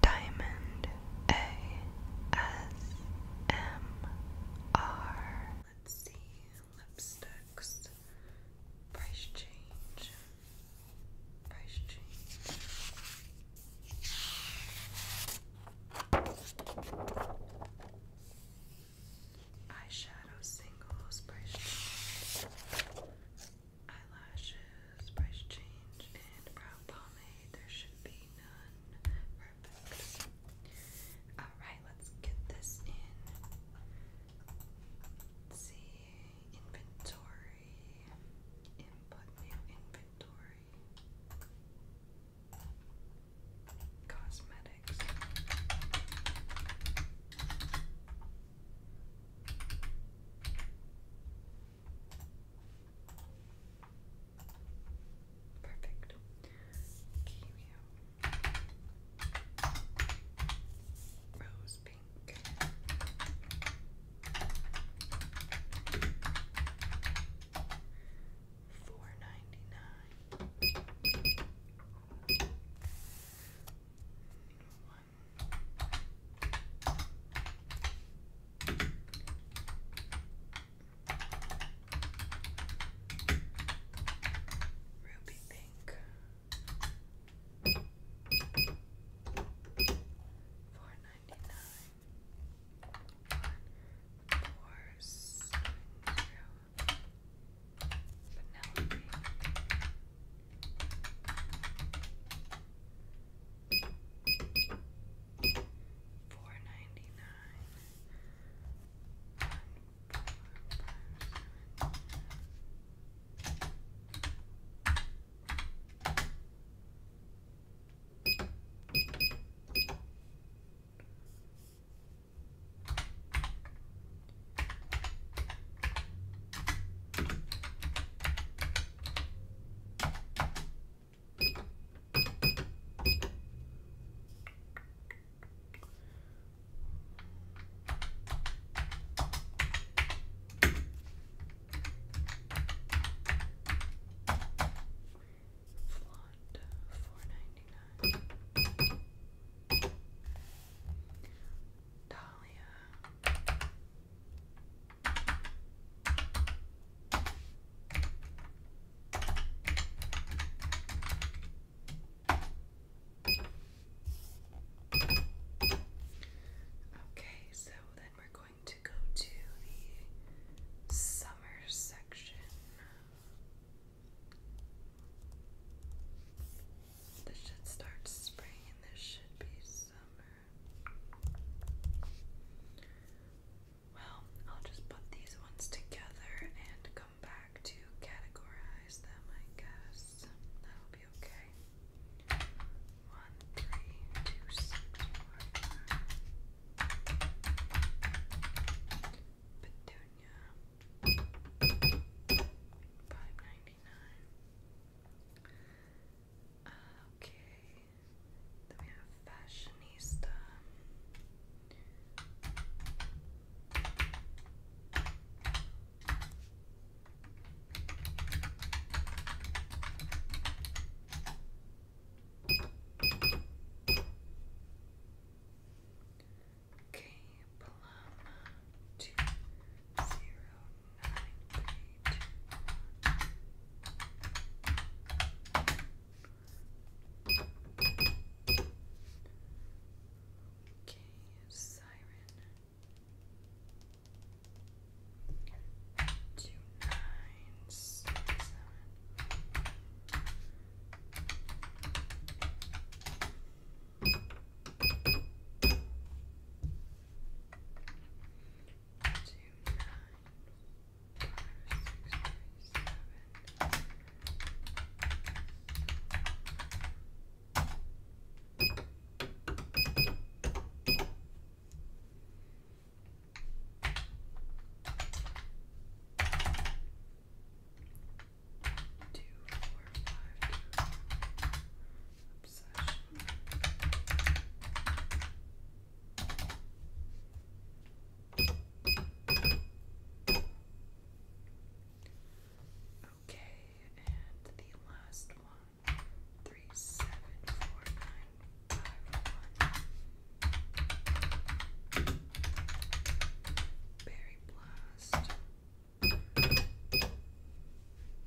Diamond ASMR. Let's see lipsticks. Price change. Price change. Eyeshadow singles. Price change eyelashes, price change, and brow pomade. There should be none. Perfect. Alright, let's get this in. see. Inventory. Input new inventory. Cosmetics. Perfect. Okay, rose pink. Four ninety nine. One Ruby pink. Four ninety nine. One four seven zero. Penelope. Four ninety nine. One, four, five, seven. Flaunt, four ninety nine. Dahlia, Okay, so then we're going to go to the summer section. This should start spring and this should be summer. Well, I'll just put these ones together and come back to categorize them, I guess. That'll be okay. One, three, two, six, four, nine. Okay. Then we have fashionista. Okay, plum two zero nine three two one. Okay, siren two nine six seven two, nine, five, six, three, seven. Two, four, five, two, obsession. Okay, and the last one three seven four nine five one Berry Blast.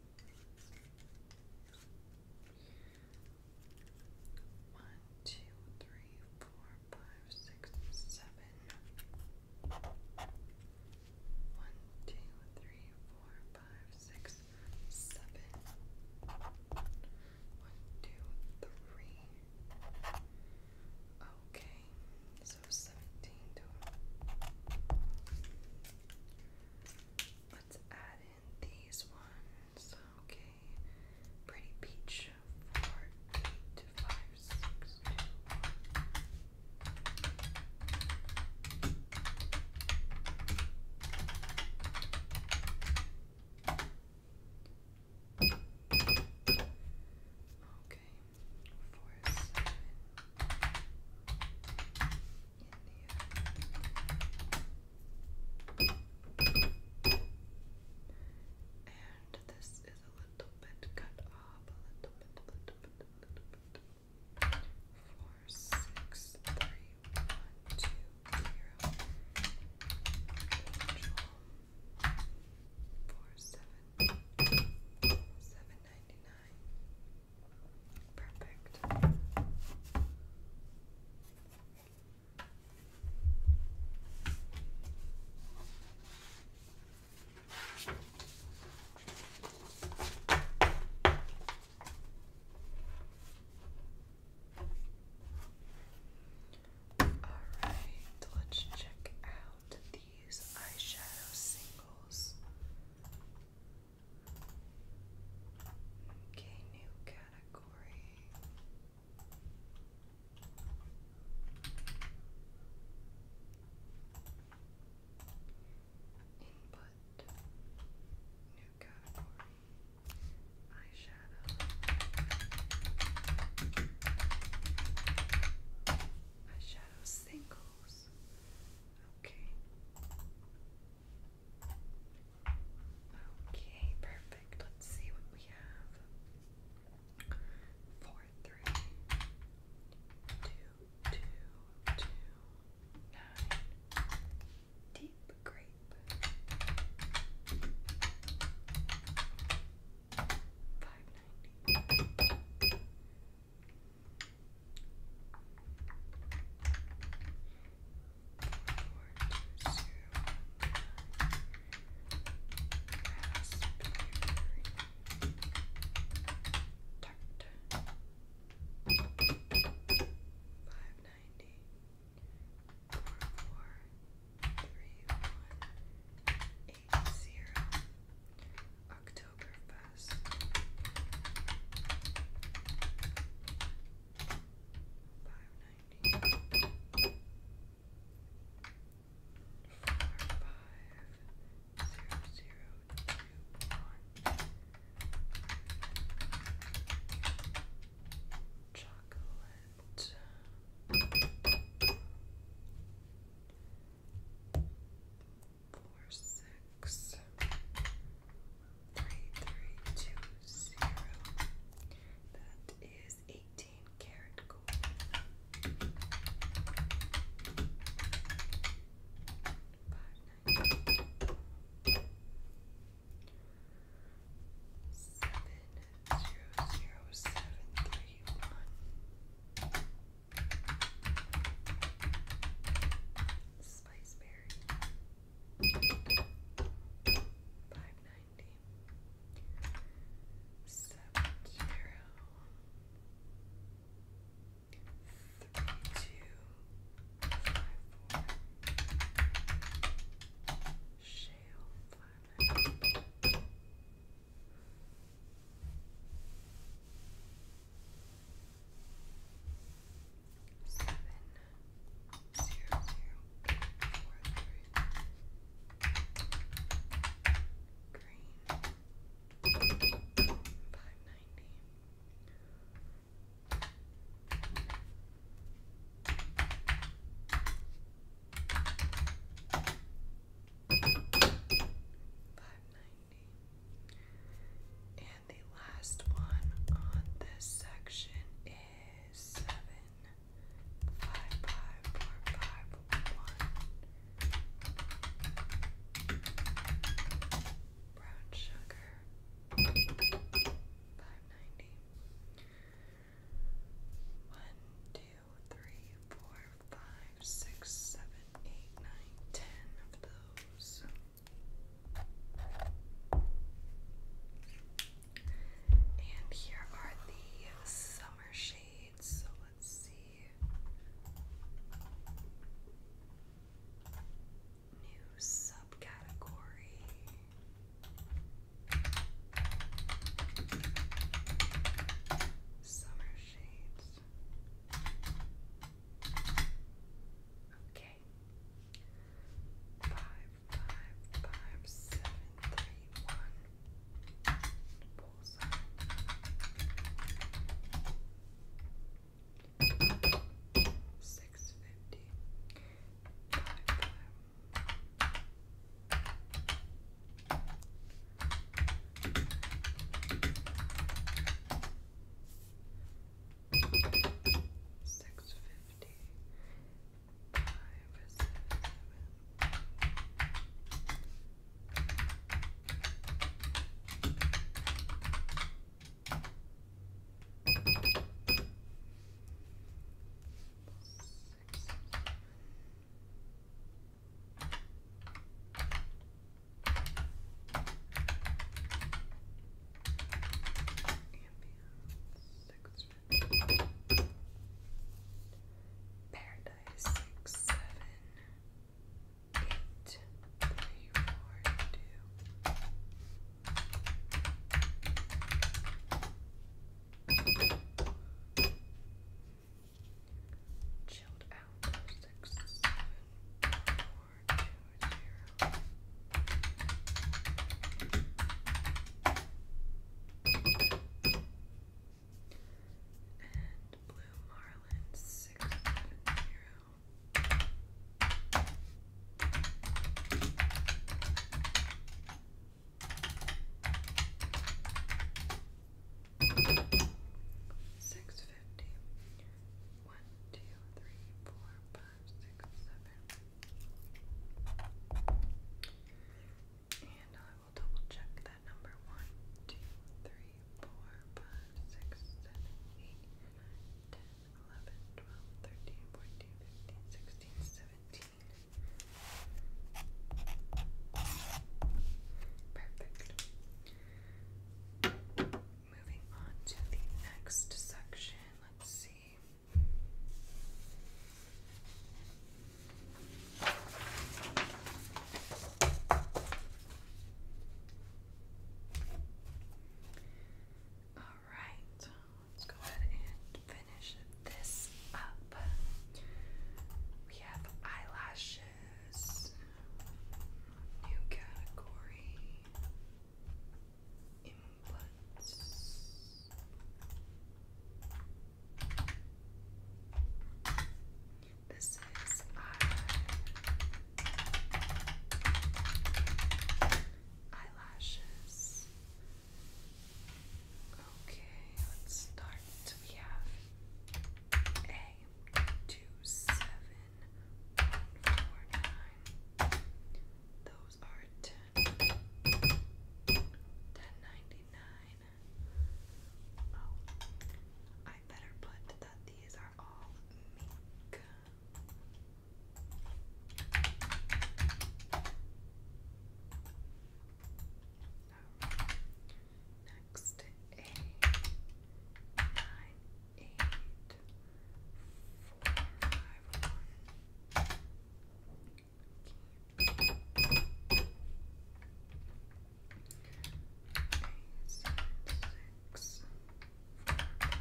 One, two, three, four, five, six, seven. One, two, three, four, five, six, seven. One, two, three. Okay, so seventeen total. Let's add in these ones. Okay. Pretty peach. Four, eight, five, six, two. Okay, four, India. And this is a little bit cut off, a little bit, a little bit, a little bit. Four, six, three, one, two, zero. Angel. Four, seven, seven ninety nine. Perfect. Alright, let's check out these eyeshadow singles. Okay, new category. Input. New category. Eyeshadow. Eyeshadow singles. Okay. Okay, perfect. Let's see what we have. Four, three, two, two, two, nine. Deep grape. Five ninety. Four, four, three, one, eight, zero. Oktoberfest. Five ninety. Four five Chocolate four six three three two zero. That is eighteen karat gold. Five nine seven zero Spiceberry. Five ninety. Seven zero. Three two five four. Shale five ninety. Seven zero zero four three green five ninety Five ninety and the last one on this section is seven five five four five one brown sugar five ninety one two three four five, six, seven, eight, nine, ten of those. And here are the summer shades. So let's see. New subcategory. Summer shades. Okay. Five, five, five, seven, three, one. Six fifty five seven. Six, seven, Ambience, six, six, seven, eight, Chilled out six seven four two zero. And blue marlin six seven zero. Six fifty. One, two, three, four, five, six, seven. And I will double check that number. One, two, three, four, five, six, seven, eight, nine, ten, eleven, twelve, thirteen, fourteen, fifteen, sixteen, seventeen. Perfect. Moving on to the next section, let's see. All right, let's go ahead and finish this up. We have eyelashes is new category inputs. This is eyelashes. Okay, let's start. We have A K two seven one four nine. Those are ten ten ninety nine. Oh, I better put that these are all mink um, next a nine eight four five one. Okay. Okay, seven, six, four. Okay.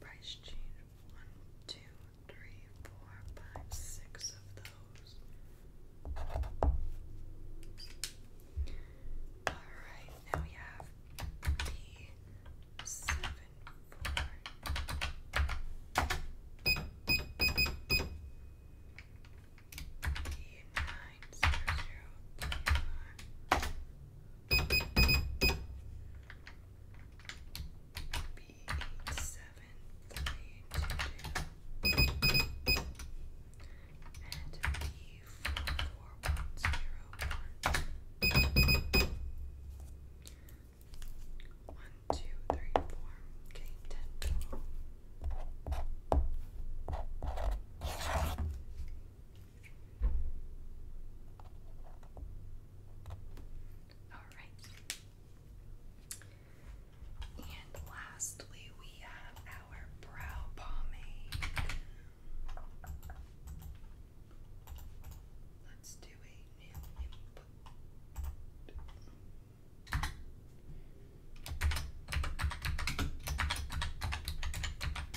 Price change one, two, three, four, five, six of those. Alright, now we have the seven, four, the nine, zero, zero, three, five. B be eight seven three two two and B four four one zero one. One, two, three, four. Okay, ten total. And lastly, we have our brow pomade. Let's do a new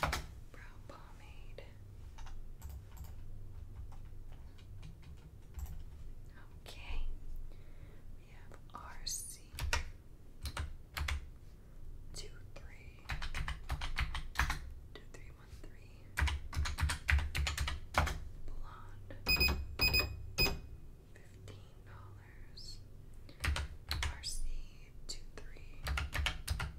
Brow pomade. Okay, we have RC two three two three one three blonde fifteen dollars RC two three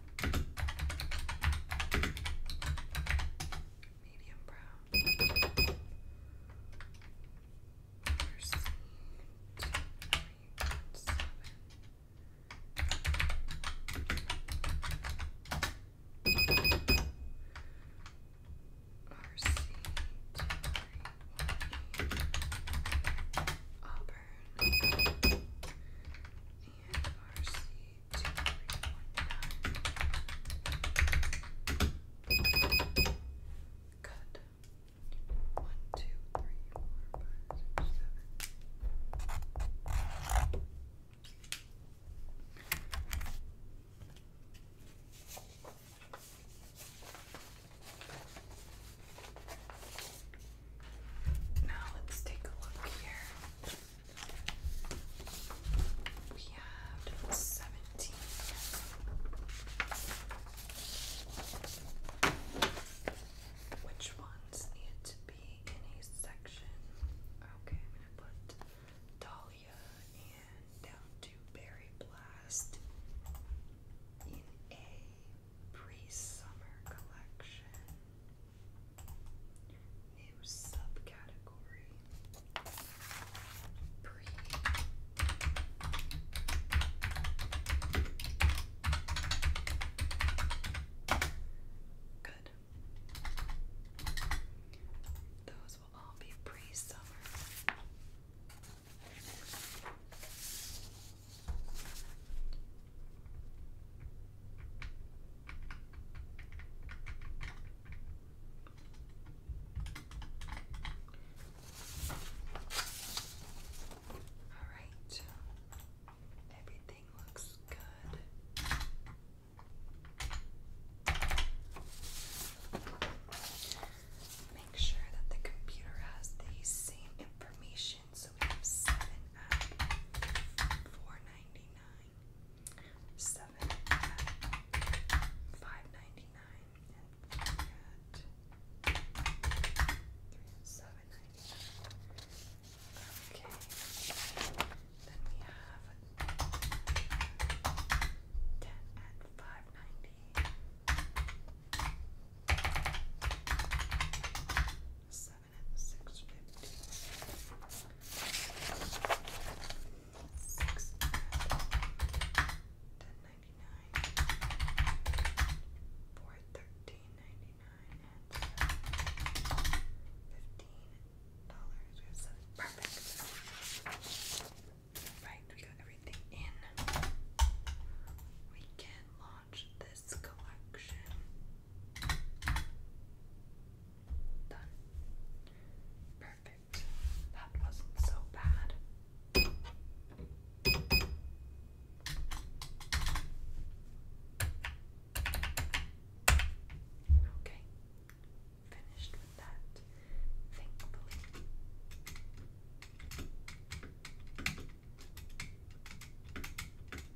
medium brown. Proceed RC Auburn and RC two, three, four, five. Good. One, two, three, four, five, six, seven. Now let's take a look here. We have seventeen. Which ones need to be in a section? Okay, I'm gonna put Dahlia and down to Berry Blast in a pre-summer collection. New subcategory. Pre. Good. Those will all be pre-summer. All right, everything looks good. Make sure that the computer has the same information. So we have seven at 4 99 seven at five ninety nine and three at seven ninety nine. Okay. Then we have ten at five ninety seven and dollars. Perfect. Right, we got everything in. We can launch this collection. Done. Perfect. That wasn't so bad. Okay, finished with that, thankfully.